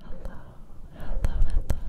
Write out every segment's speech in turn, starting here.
Hello, hello, hello.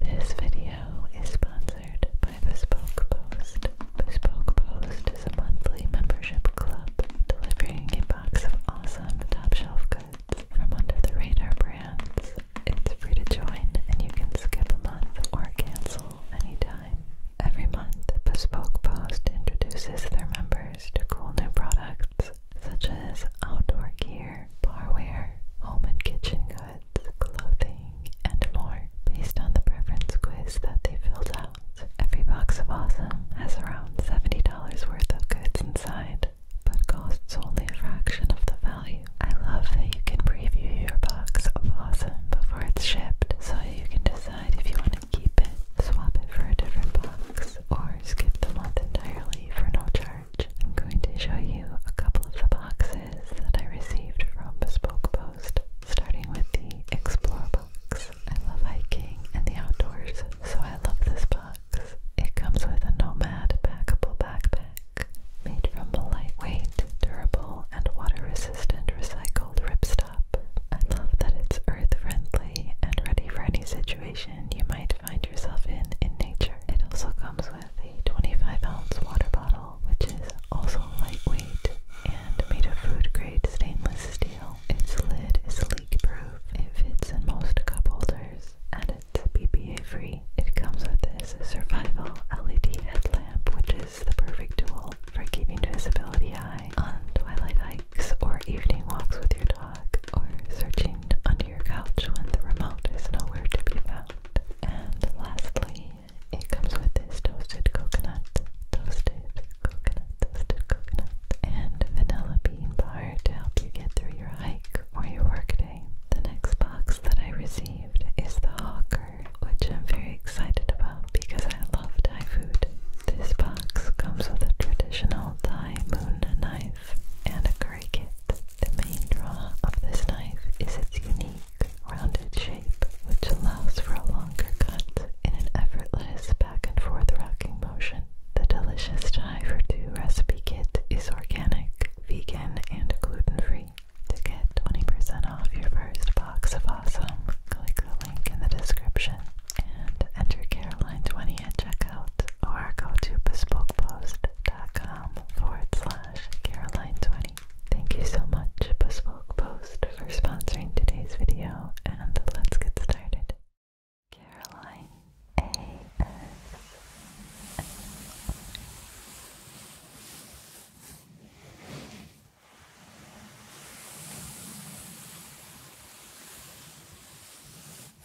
This video is sponsored by Bespoke Post. Bespoke Post is a monthly membership club delivering a box of awesome top shelf goods from under the radar brands. It's free to join and you can skip a month or cancel anytime. Every month, Bespoke Post introduces their members to cool new products such as outdoor gear, barware, home and kitchen goods, clothing, and more, based on the preference quiz that they filled out. Every box of Awesome has around $70 worth of goods inside, but costs only a fraction of the value. I love that you can preview your box of Awesome before it's shipped, so you can decide if you want to keep it, swap it for a different box, or skip the month entirely for no charge. I'm going to show you a couple of the boxes that I received from Bespoke Post, starting with the Explore box. I love hiking and the outdoors, so I love this box. It comes with a Nomad packable backpack made from lightweight, durable, and water-resistant recycled ripstop. I love that it's earth-friendly and ready for any situation you might find yourself in in nature. It also comes with a 25 ounce water bottle, which is also lightweight and made of food grade stainless steel. Its lid is leak proof. It fits in most cup holders and it's BPA free. It comes with this survival LED headlamp, which is the perfect tool for keeping visibility high on twilight hikes or evening walks with your dog or searching under your couch when the remote is nowhere to be found. And lastly, it comes with this toasted coconut, toasted coconut, toasted coconut, and vanilla bean bar to help you get through your hike or your workday. The next box that I received is the Hawker, which I'm very excited about because I love Thai food. This box comes with a traditional Thai moon knife and a the main draw of this knife is its unique rounded shape, which allows for a longer cut in an effortless back and forth rocking motion. The delicious Thai for two recipe kit is organic, vegan, and gluten free. To get 20% off your first box of awesome, click the link in the description and enter Caroline20 at checkout or go to bespokepost.com forward slash Caroline20. Thank you so much, Bespoke Post, for sponsoring today's video, and let's get started. Caroline A. S.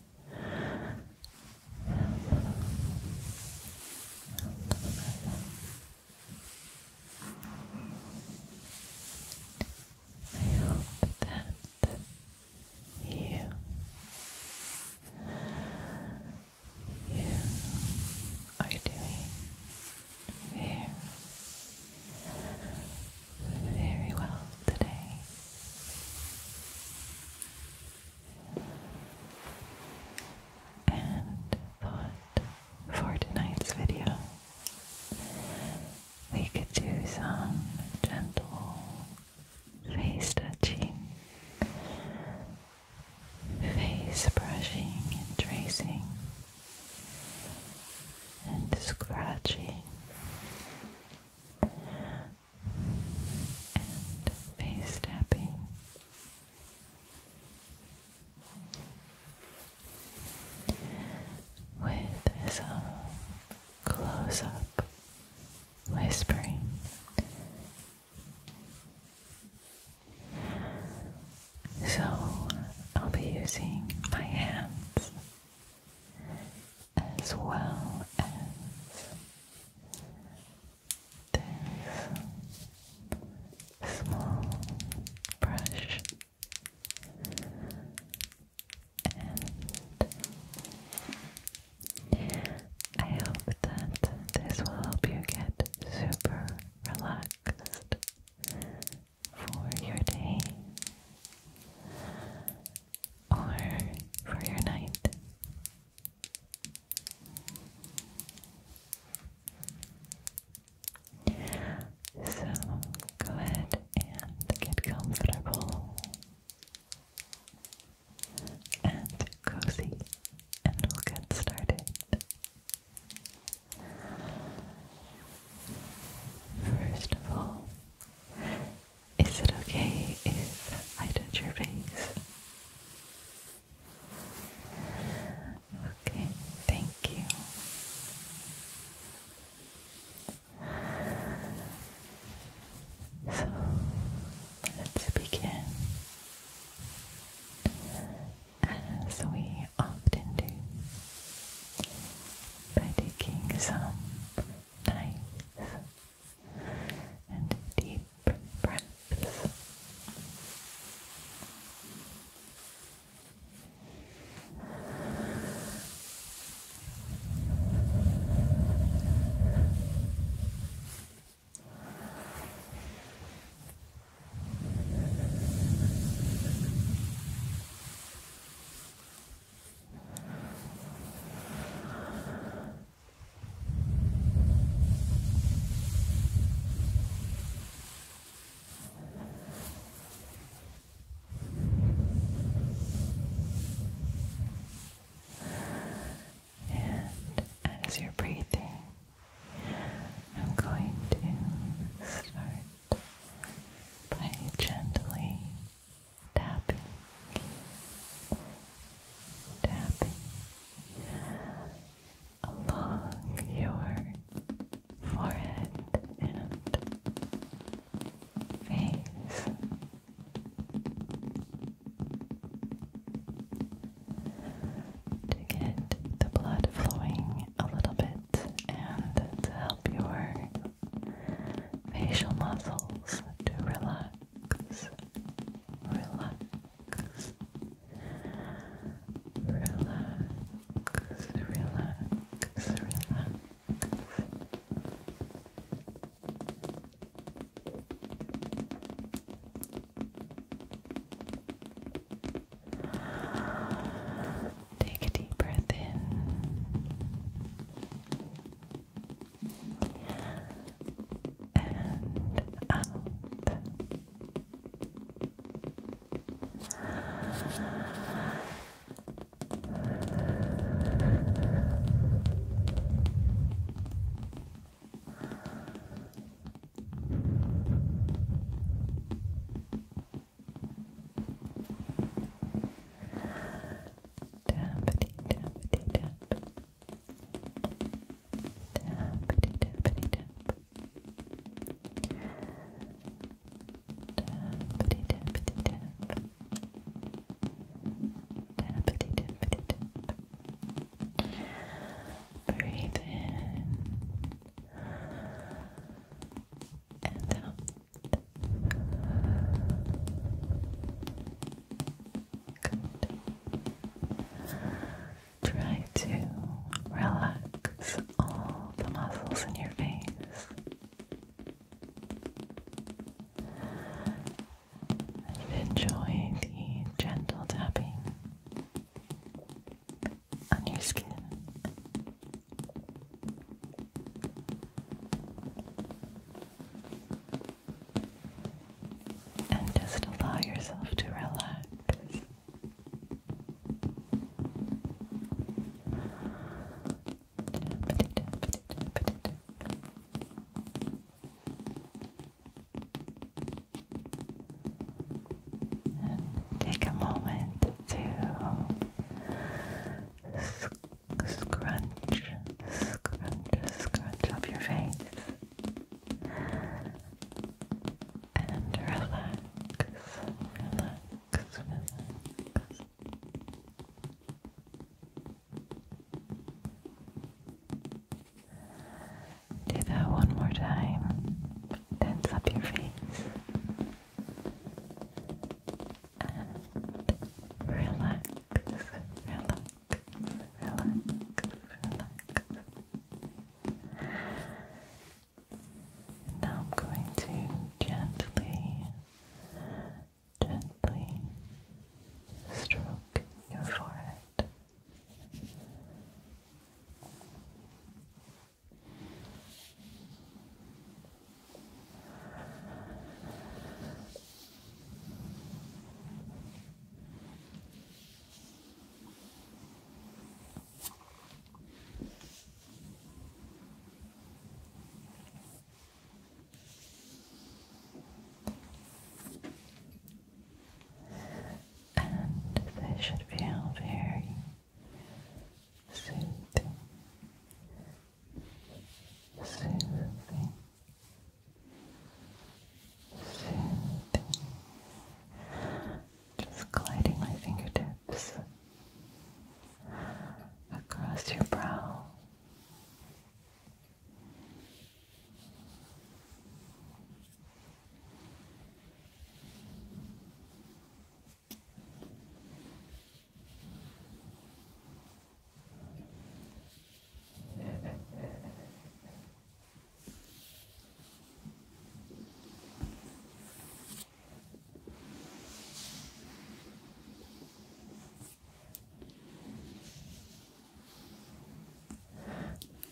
I hope that you you are doing very, very well today and thought for tonight's video we could do some gentle face touching, face brushing and tracing and scratching and face tapping. With some um, close up whispering. So I'll be using my hands as well as this small brush and I hope that this will help you get super relaxed for your day or for your night. So go ahead and get comfortable and cozy, and we'll get started. First of all, is it okay if I touch your face? Okay, thank you. So let's begin. As we often do, by taking some nice and deep breaths. And as you're breathing, I'm going to start by gently tapping, tapping along your forehead and face. To get the blood flowing a little bit and to help your facial muscles to relax, relax, relax, relax, relax. Take a deep breath in and out. Tappity, tappity, tap. Tappity, tappity, tap. Tappity, tappity, tap. Tappity, tappity, tap. Breathe in and out. Try to relax all the muscles in your face. And enjoy the gentle tapping on your skin. And just allow yourself to relax. take a moment to Scrunch, scrunch, scrunch up your face and relax, relax, Do that one more time. Tense up your face and relax relax, relax, Now I'm going to gently, gently stroke your forehead. And they should feel very soothing just gliding my fingertips across your brow.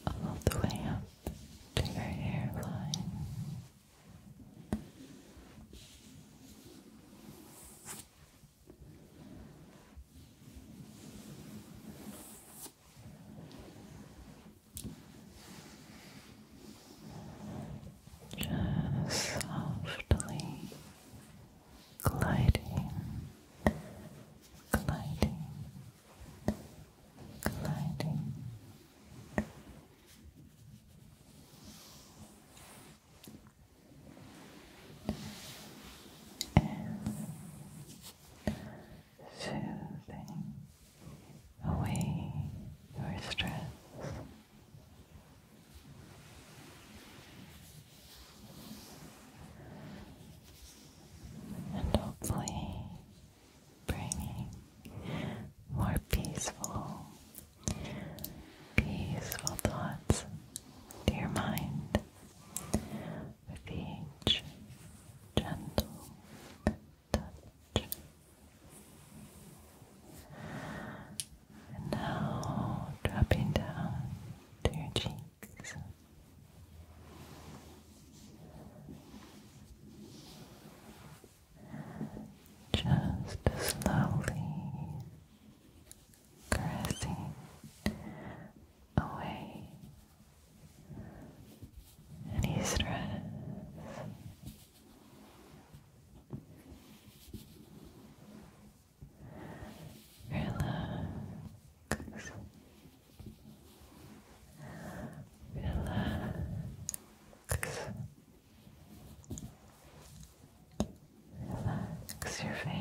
All the way up to your hairline. Just softly gliding, gliding, gliding and soothing away your stress. And hopefully bringing more peaceful peaceful thoughts to your mind with each gentle touch. And now dropping down to your cheeks. Just slowly caressing away any stress. Relax. Relax. Relax your face.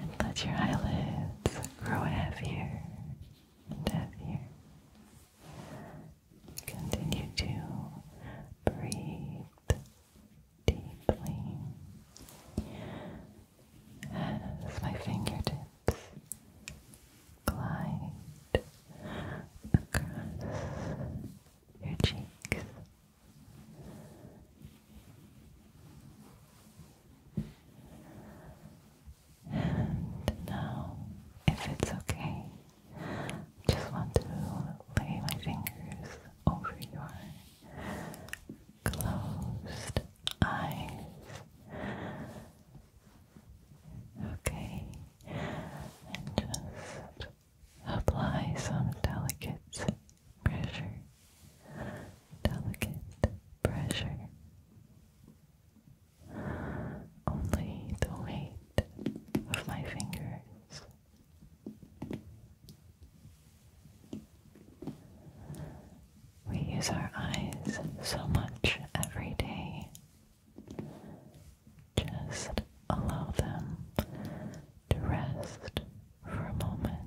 And let your eyelids grow heavier and heavier. Continue to breathe deeply as my fingertips glide across your cheeks. And now, if it's okay, just want to lay my fingers over your closed eyes Okay, and just apply some delicate pressure, delicate pressure. Only the weight of my fingers. We use our eyes so much every day. Just allow them to rest for a moment.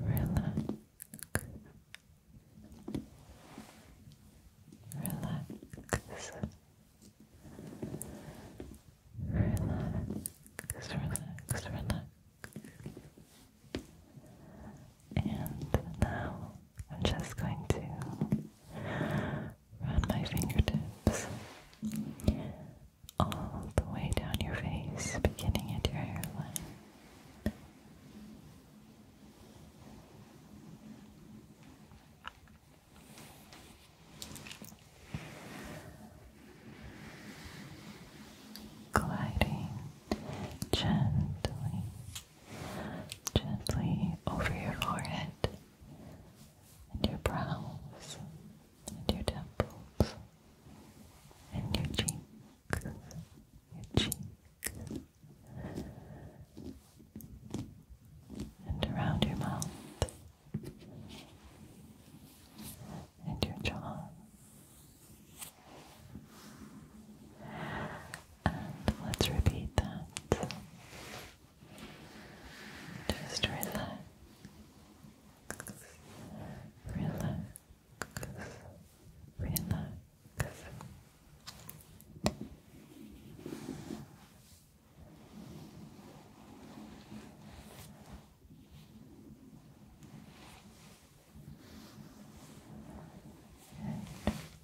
Relax. Relax. Relax, relax, relax. And now I'm just going to run my fingertips all the way down your face, beginning at your hairline. Gliding gently, gently over your forehead and your brows and your temples and your cheeks your cheek, and around your mouth, and your jaw, and let's repeat that. Just relax. Relax, relax, and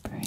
breathe.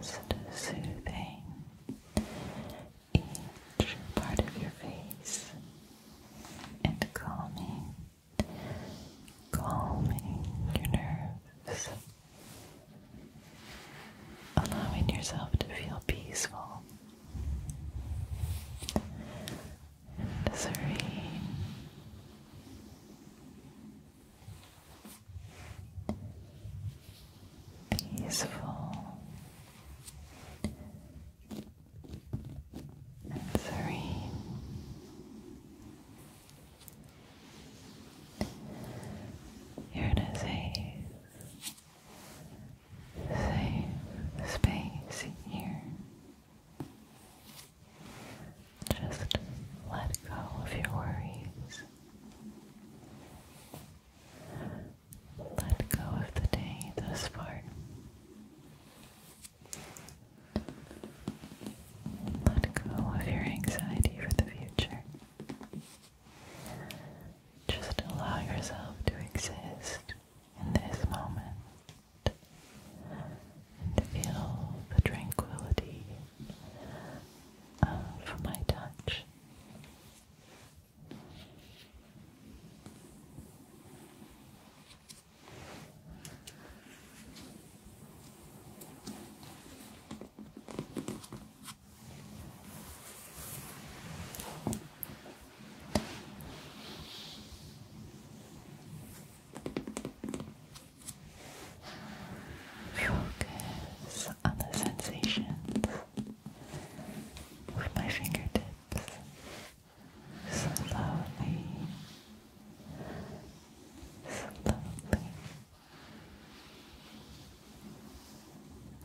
Just soothing each part of your face and calming, calming your nerves, allowing yourself to feel peaceful and serene peaceful and serene. Here it is a safe space here. Just let go of your worries. Let go of the day thus far. Let go of your anxiety for the future. Just allow yourself to exist in this moment and feel the tranquility uh, for my touch. Focus on the sensations with my fingertips. Slowly, slowly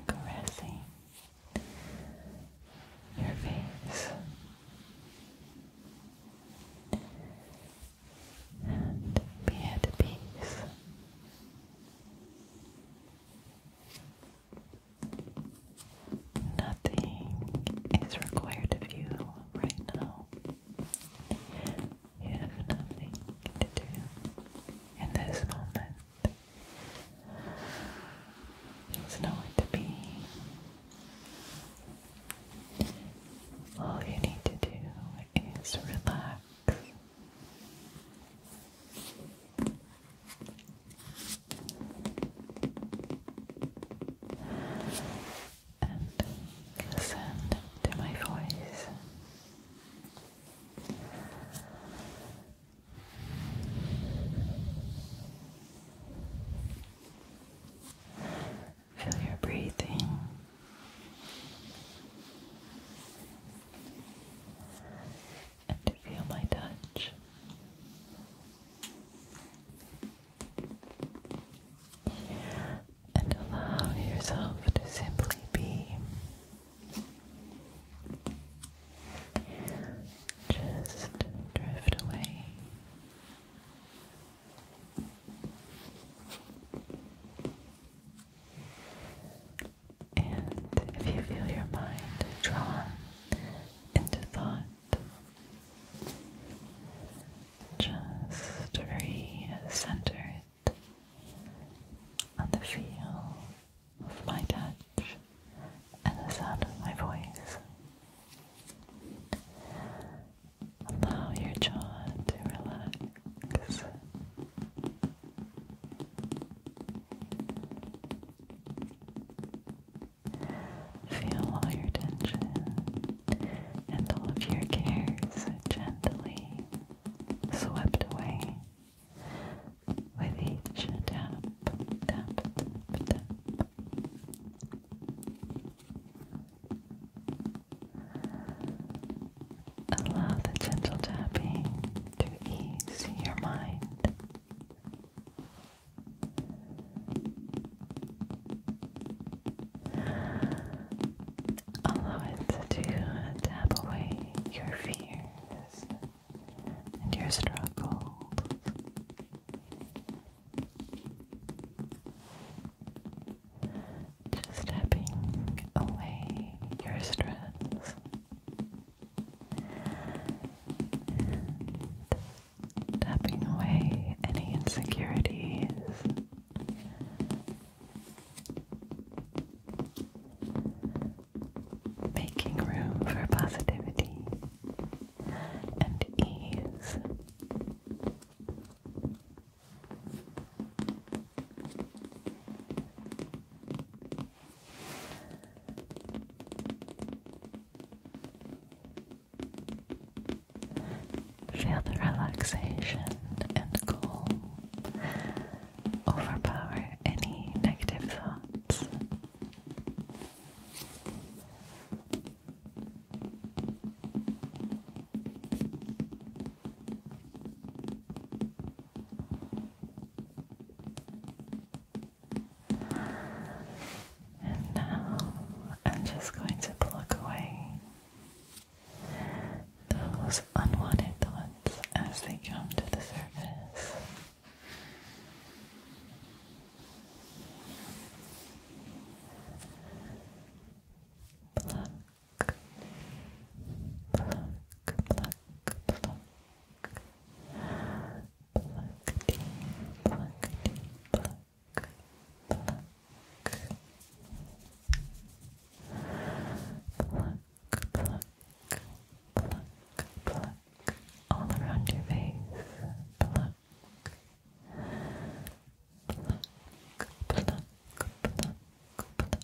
caressing your face and be at peace. Nothing is required of you right now. You have nothing to do in this moment. There's nowhere to be. All you need to do is relax and listen to my voice. Feel your breathing and to feel my touch. And allow yourself to simply be just drift away. And if you feel your mind drawn into thought, just recenter it on the feel of my touch and the sound of my voice. Allow your jaw to relax this. Feel all your tension and all of your cares gently swept away with each tap, tap, tap, Allow the gentle tapping to ease your mind. Allow it to tap away your fears and your struggles just tapping away your stress. tapping away any insecurities. Making room for positivity and ease. Feel the relaxation and calm overpower any negative thoughts now I'm just going to pluck away those unwanted thoughts as they come to the surface. Pluck, pluck, pluck, pluck. Pluckety, pluckety, pluck, pluck. Pluck, pluck, pluck, pluck. All around your face. Pluck. Pluck, pluck, pluck, pluck.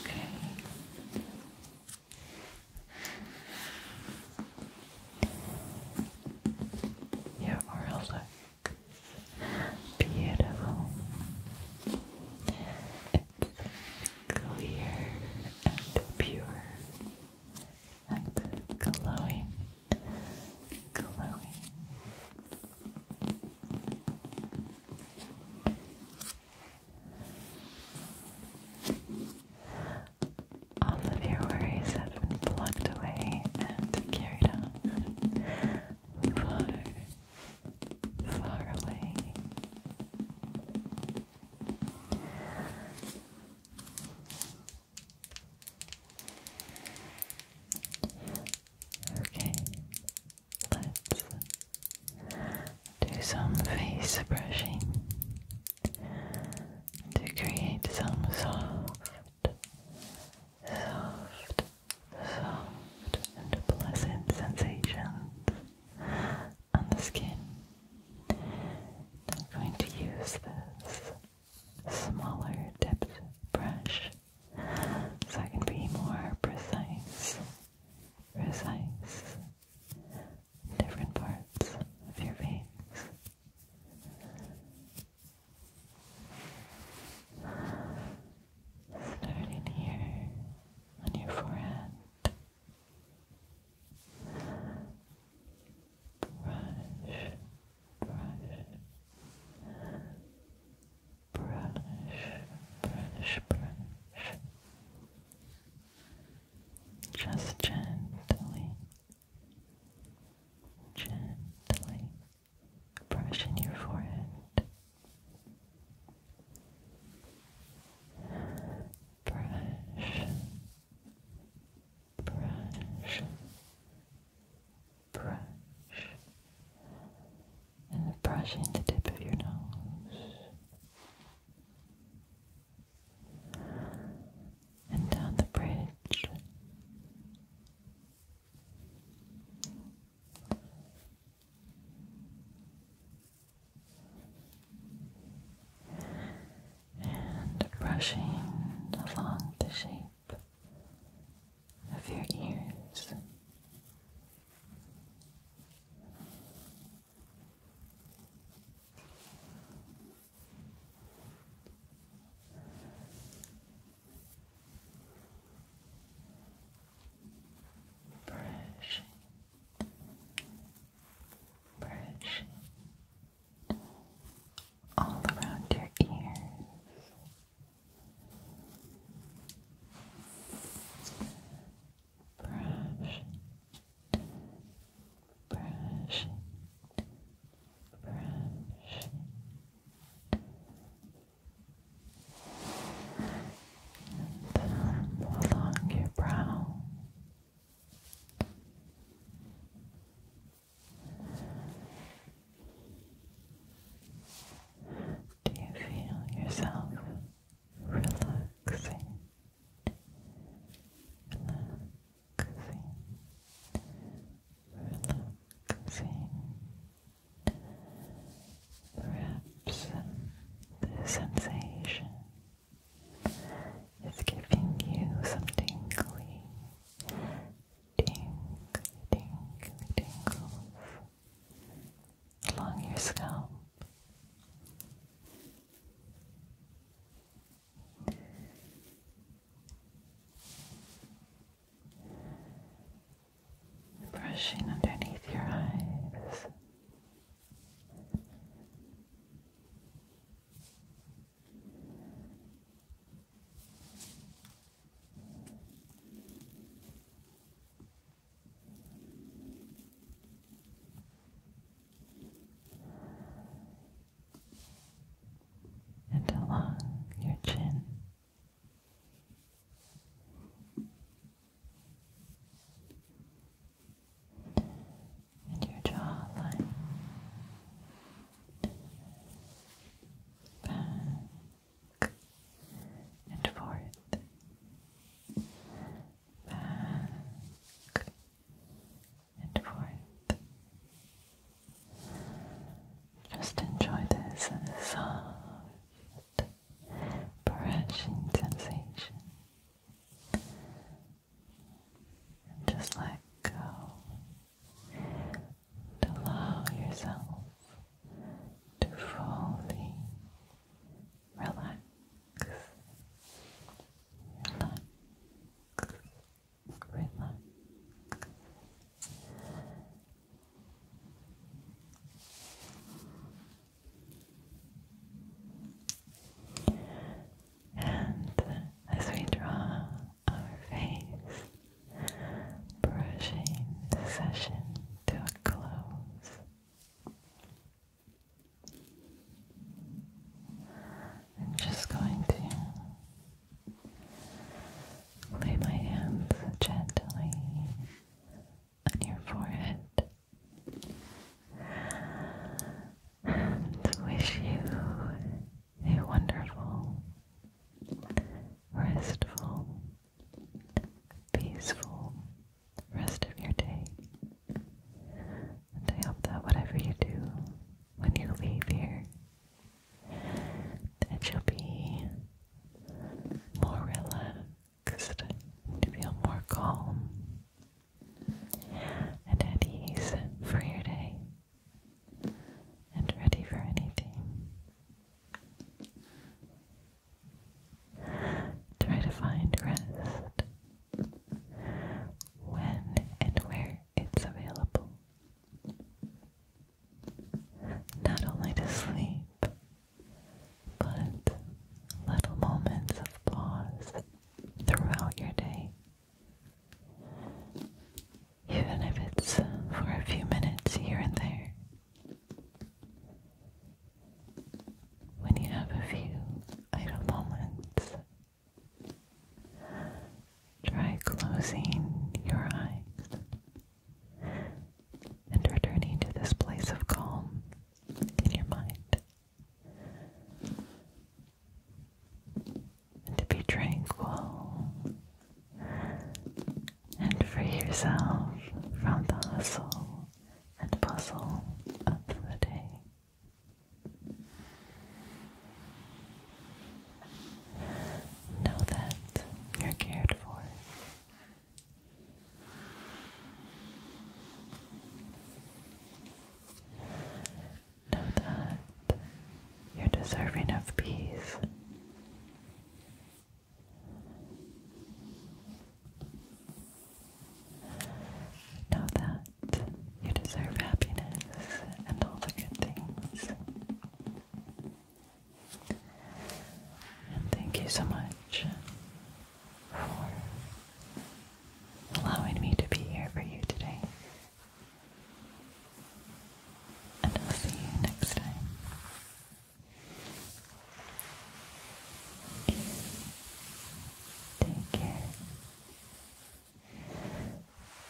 Okay. Your oral looks beautiful. clear and pure and glowing, glowing. All of your worries have been plucked away and carried on far, far away. Okay, Let's do some face brushing to create some soft, soft, soft, and pleasant sensations on the skin. I'm going to use this smaller depth brush so I can be more precise, precise, different parts of your face. Starting here on your forehead. Brush, brush, Brandish, brandish, brandish. Just gently, gently brushing your forehead. Brush, brush, brush and brushing the tip of your nose and down the bridge. And brushing along the shape of your ears. Brush, brush all around your ears brush it, brush it, brush it. And then along your brow. Do you feel yourself relaxing? Relaxing, relaxing. Perhaps the sensation is giving you some tingly, tingly, tingly tingles along your scalp. Brushing underneath your eyes and along your chin. And your jawline, and forth, back and forth. Just enjoy this soft, brushing sensation. just let go to allow yourself to fully relax. Relax. Relax. And as we draw our face brushing the session to a close. I'm just going to lay my hands gently on your forehead and wish you a wonderful, restful, peaceful rest of your day. And I hope that whatever you do when you leave here, that you'll be more relaxed, feel more calm and at ease for your day and ready for anything. Try to find rest when and where it's available. Not only to sleep, but little moments of pause throughout your day even if it's for a few minutes here and there. When you have a few idle moments, try closing your eyes and returning to this place of calm in your mind. And to be tranquil and free yourself from the hustle and bustle of the day. Know that you're cared for. Know that you're deserving of peace Know that you deserve happiness and all the good things. And thank you so much for allowing me to be here for you today and I'll see you next time. Take care.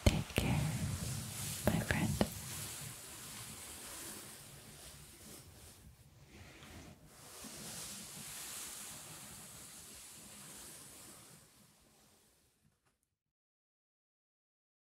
Take care, my friend.